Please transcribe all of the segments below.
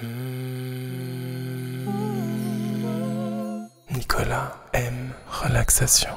Hmm. Nicolas aime relaxation.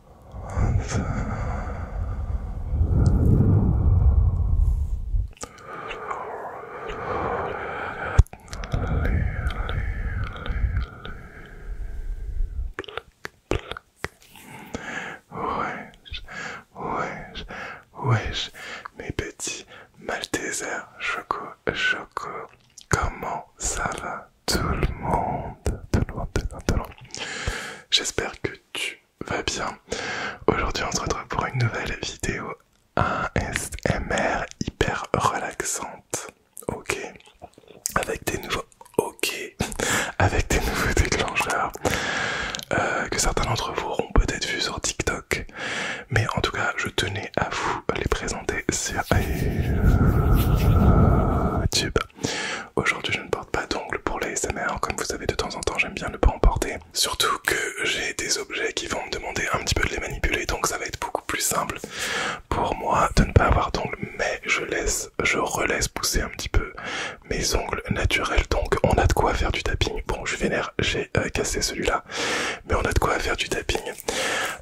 Wesh, wesh, mes petits Maltesers Choco, Choco, comment ça va tout le monde, tout le monde, tout le monde. J'espère que tu vas bien. Aujourd'hui, on se retrouve pour une nouvelle vidéo ASMR hyper relaxante. Ok, avec des nouveaux ok, avec des nouveaux déclencheurs euh, que certains d'entre vous auront peut-être vu sur TikTok, mais en tout cas, je tenais à vous les présenter sur YouTube. Aujourd'hui, je ne porte pas d'ongles pour les SMR. Comme vous savez, de temps en temps, j'aime bien ne pas en porter. Surtout que j'ai des objets qui vont me demander un petit peu de les manipuler, donc ça va être beaucoup plus simple pour moi de ne pas avoir d'ongles. Mais je laisse, je relaisse pousser un petit peu mes ongles naturels. Donc, on a de quoi faire du tapping. Bon, je vénère, j'ai euh, cassé celui-là, mais on a de quoi faire du tapping.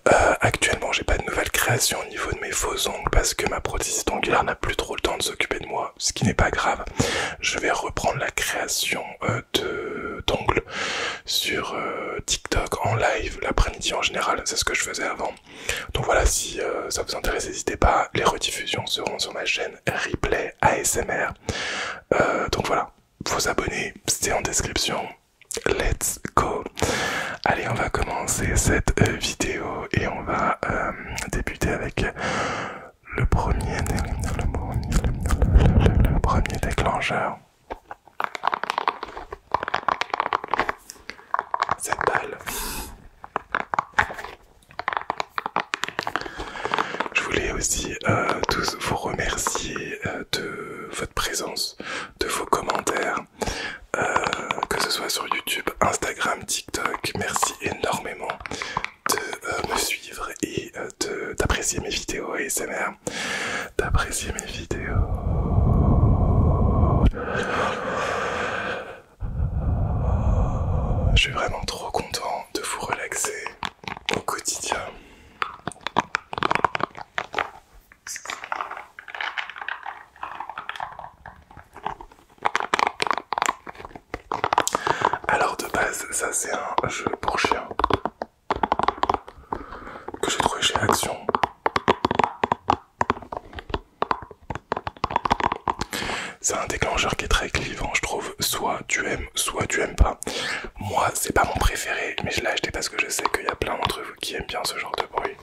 Euh, actuellement, j'ai pas de nouvelles créations au niveau de mes faux ongles parce que ma prothésiste ongulaire n'a plus trop le temps de s'occuper de moi ce qui n'est pas grave. Je vais reprendre la création euh, de d'ongles sur euh, TikTok en live l'après-midi en général, c'est ce que je faisais avant. Donc voilà, si euh, ça vous intéresse, n'hésitez pas, les rediffusions seront sur ma chaîne Replay ASMR. donc voilà, vous abonnez, c'est en description. Let's go Allez, on va commencer cette vidéo et on va débuter avec le premier, déclencheur. Cette balle. Je voulais aussi euh, tous vous remercier euh, de votre présence, de vos commentaires, euh, que ce soit sur YouTube, Instagram, TikTok. Merci énormément de euh, me suivre et euh, d'apprécier mes vidéos ASMR. D'apprécier mes vidéos. Je suis vraiment trop content de vous relaxer au quotidien. Alors de base, ça c'est un jeu pour chien que j'ai trouvé chez Action. C'est un déclencheur qui est très clivant, je trouve. Soit tu aimes, soit tu aimes pas. Moi, c'est pas mon préféré, mais je l'ai acheté parce que je sais qu'il y a plein d'entre vous qui aiment bien ce genre de bruit.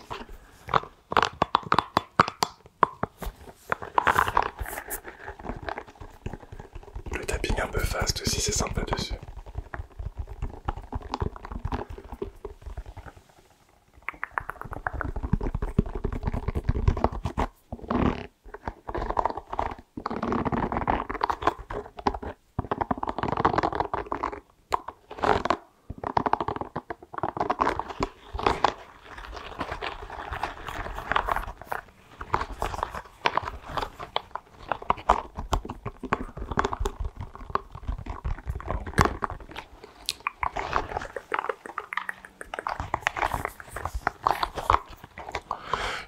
Le tapping un peu fast aussi, c'est sympa dessus.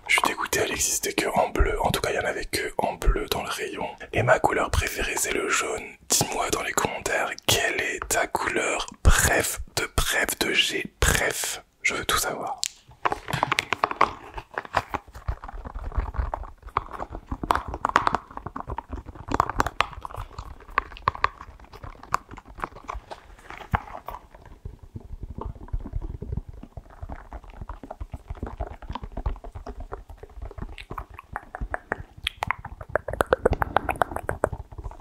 Je suis dégoûté, elle existait que en bleu. En tout cas, il n'y en avait que en bleu dans le rayon. Et ma couleur préférée, c'est le jaune. Dis-moi dans les commentaires quelle est ta couleur bref, de bref, de G, bref, je veux tout savoir.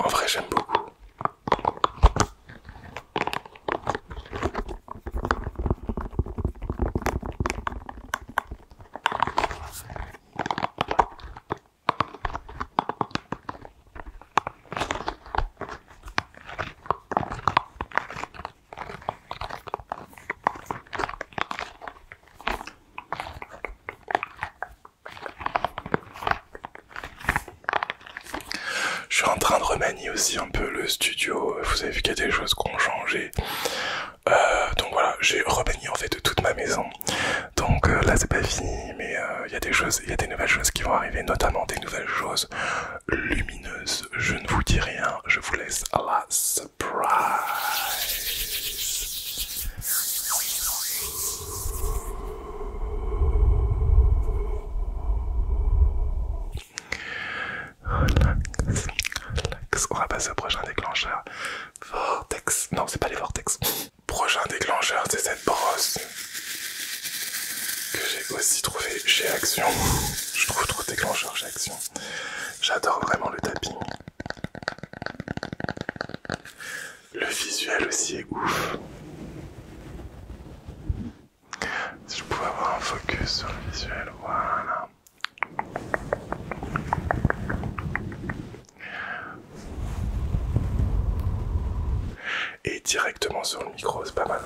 En vrai, j'aime beaucoup. Je suis en train de remanier aussi un peu le studio. Vous avez vu qu'il y a des choses qui ont changé. Euh, donc voilà, j'ai remanié en fait toute ma maison. Donc euh, là c'est pas fini, mais euh, il y a des choses, il y a des nouvelles choses qui vont arriver, notamment des nouvelles choses lumineuses. Je ne vous dis rien, je vous laisse à surprise. Relax, relax. On va passer au prochain déclencheur. Vortex. Non, c'est pas les vortex. Prochain déclencheur, c'est cette brosse que j'ai aussi trouvé chez Action. Je trouve trop déclencheur chez Action. J'adore vraiment le tapping. Le visuel aussi est ouf. Si je pouvais avoir un focus sur le visuel, voilà. Et directement sur le micro, c'est pas mal.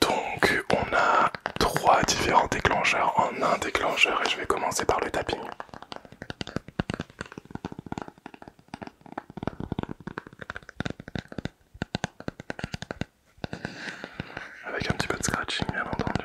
Donc on a trois différents déclencheurs en un déclencheur et je vais commencer par le tapping. Avec un petit peu de scratching bien entendu.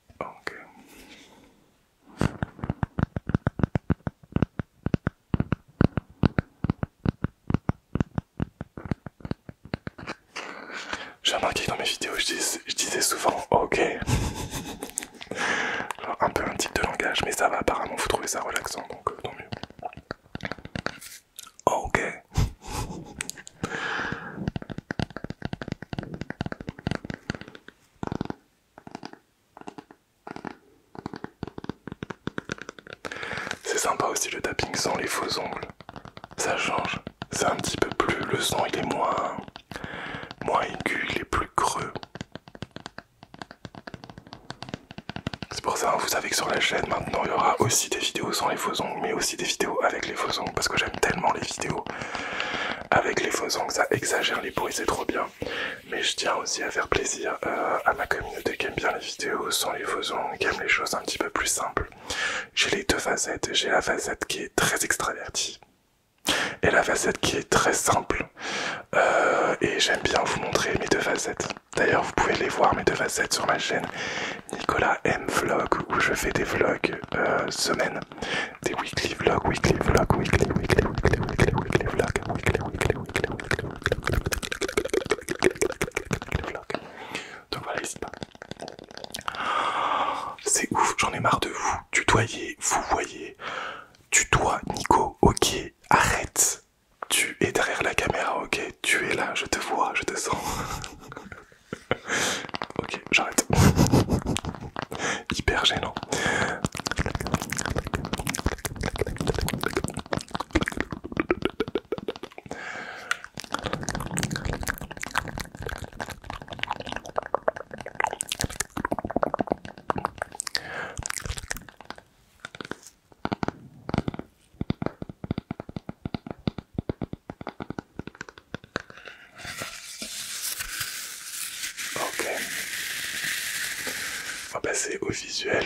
Ah, ok. J'ai remarqué dans mes vidéos, je, disais souvent ok. un peu un type de langage, mais ça va apparemment, vous trouvez ça relaxant, donc euh, tant mieux. Ok. C'est sympa aussi le tapping sans les faux ongles. Ça change. C'est un petit peu plus. Le son il est moins. moins aigu, il est plus creux. C'est pour ça, hein, vous savez que sur la chaîne maintenant il y aura aussi des vidéos sans les faux ongles, mais aussi des vidéos avec les faux ongles, parce que j'aime tellement les vidéos avec les faux ongles, ça exagère les bruits, c'est trop bien. Mais je tiens aussi à faire plaisir euh, à ma communauté qui aime bien les vidéos sans les faux qui aime les choses un petit peu plus simples. J'ai les deux facettes, j'ai la facette qui est très extravertie et la facette qui est très simple. Euh, et j'aime bien vous montrer mes deux facettes. D'ailleurs, vous pouvez les voir mes deux facettes sur ma chaîne. Nicolas M Vlog où je fais des vlogs semaine, des weekly vlogs, weekly vlogs, weekly, weekly, weekly, weekly, weekly vlogs, weekly, weekly, weekly, weekly, weekly vlogs. Donc voilà, ici. C'est ouf, j'en ai marre de vous. Tutoyer, vous voyez. Tutoie, Nico, ok, arrête. Tu es derrière la caméra, ok, tu es là, je te vois, je te sens. ok, j'arrête. Hyper gênant. Ok. On va passer au visuel.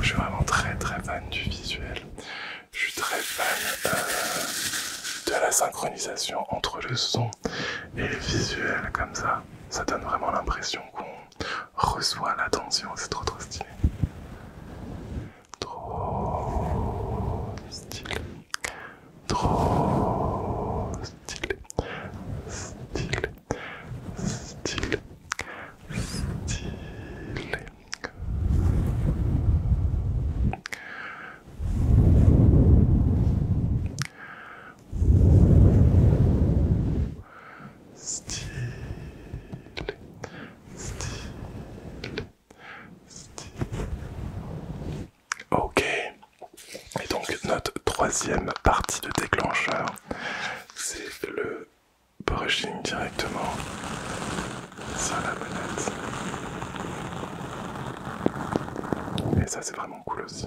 Je suis vraiment très très fan du visuel. Je suis très fan euh, de la synchronisation entre le son et le visuel comme ça. Ça donne vraiment l'impression qu'on reçoit l'attention. C'est trop trop stylé. Trop stylé. Trop stylé. Stylé. Stylé. Stylé. Style, style, Ok. Et donc notre troisième partie de déclencheur, c'est le brushing directement sur la manette. Et ça c'est vraiment cool aussi.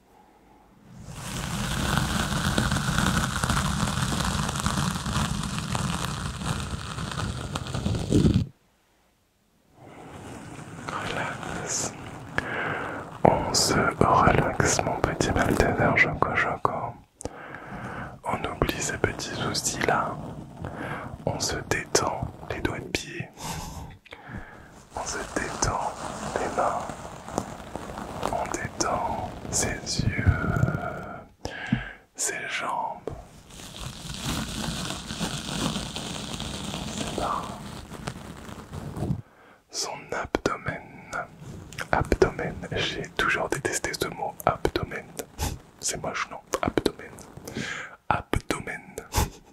Relax. On se relaxe, mon petit beltédère Choco On oublie ces petits soucis là. On se détend les doigts de pied. On se détend les mains. On détend ses yeux, ses jambes. Ses bras. Son abdomen. Abdomen. J'ai toujours détesté ce mot abdomen. C'est moche, non Abdomen. Abdomen.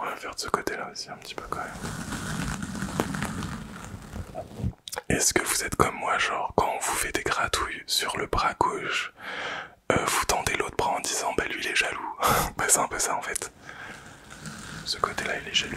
On va faire de ce côté-là aussi un petit peu quand même. Est-ce que vous êtes comme moi, genre quand on vous fait des gratouilles sur le bras gauche, euh, vous tendez l'autre bras en disant bah lui il est jaloux Bah c'est un peu ça en fait. Ce côté-là il est jaloux.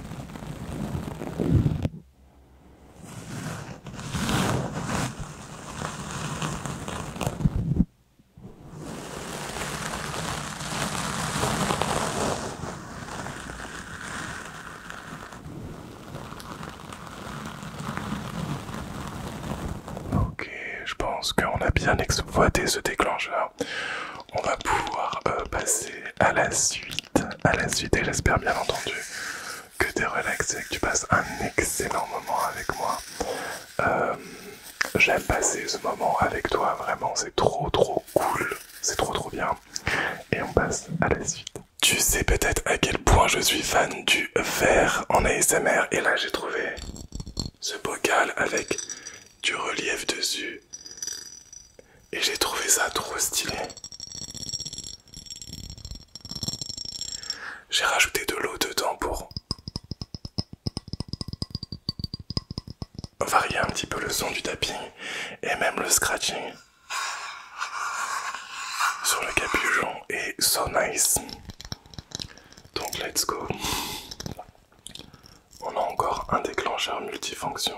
Ok, je pense qu'on a bien exploité ce déclencheur on va pouvoir euh, passer à la suite. À la suite, et j'espère bien entendu que tu es relaxé et que tu passes un excellent moment avec moi. Euh, j'aime passer ce moment avec toi, vraiment, c'est trop trop cool, c'est trop trop bien. Et on passe à la suite. Tu sais peut-être à quel point je suis fan du verre en ASMR, et là j'ai trouvé ce bocal avec du relief dessus et j'ai trouvé ça trop stylé. J'ai rajouté de l'eau dedans pour varier un petit peu le son du tapping et même le scratching sur le capuchon est so nice. Donc let's go. On a encore un déclencheur multifonction.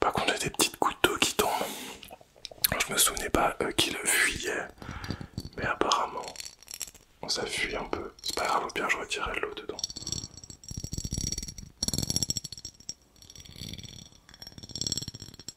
Par contre, il y a des petites gouttes d'eau qui tombent. Je me souvenais pas euh, qui le fuyait, mais apparemment ça fuit un peu. C'est pas grave, au pire, je retirerai l'eau dedans.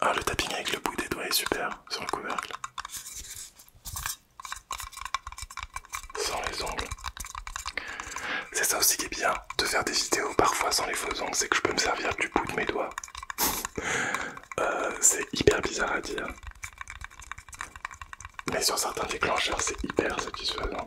Ah, le tapping avec le bout des doigts est super sur le couvercle. Sans les ongles. C'est ça aussi qui est bien de faire des vidéos parfois sans les faux ongles, c'est que je peux me servir du bout de mes doigts. Euh, c'est hyper bizarre à dire. Mais sur certains déclencheurs, c'est hyper satisfaisant.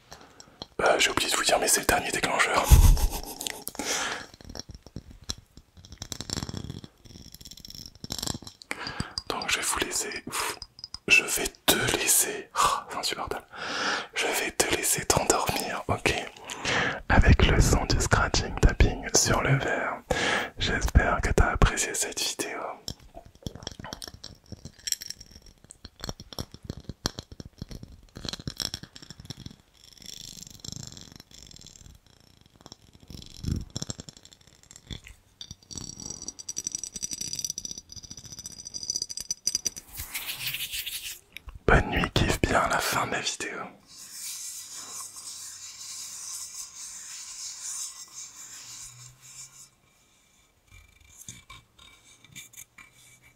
Bah, j'ai oublié de vous dire, mais c'est le dernier déclencheur. Donc je vais vous laisser. Je vais te laisser. Oh, je vais te laisser t'endormir, ok Avec le son du scratching tapping sur le verre. J'espère que t'as apprécié cette vidéo. Bonne nuit, kiffe bien la fin de la vidéo.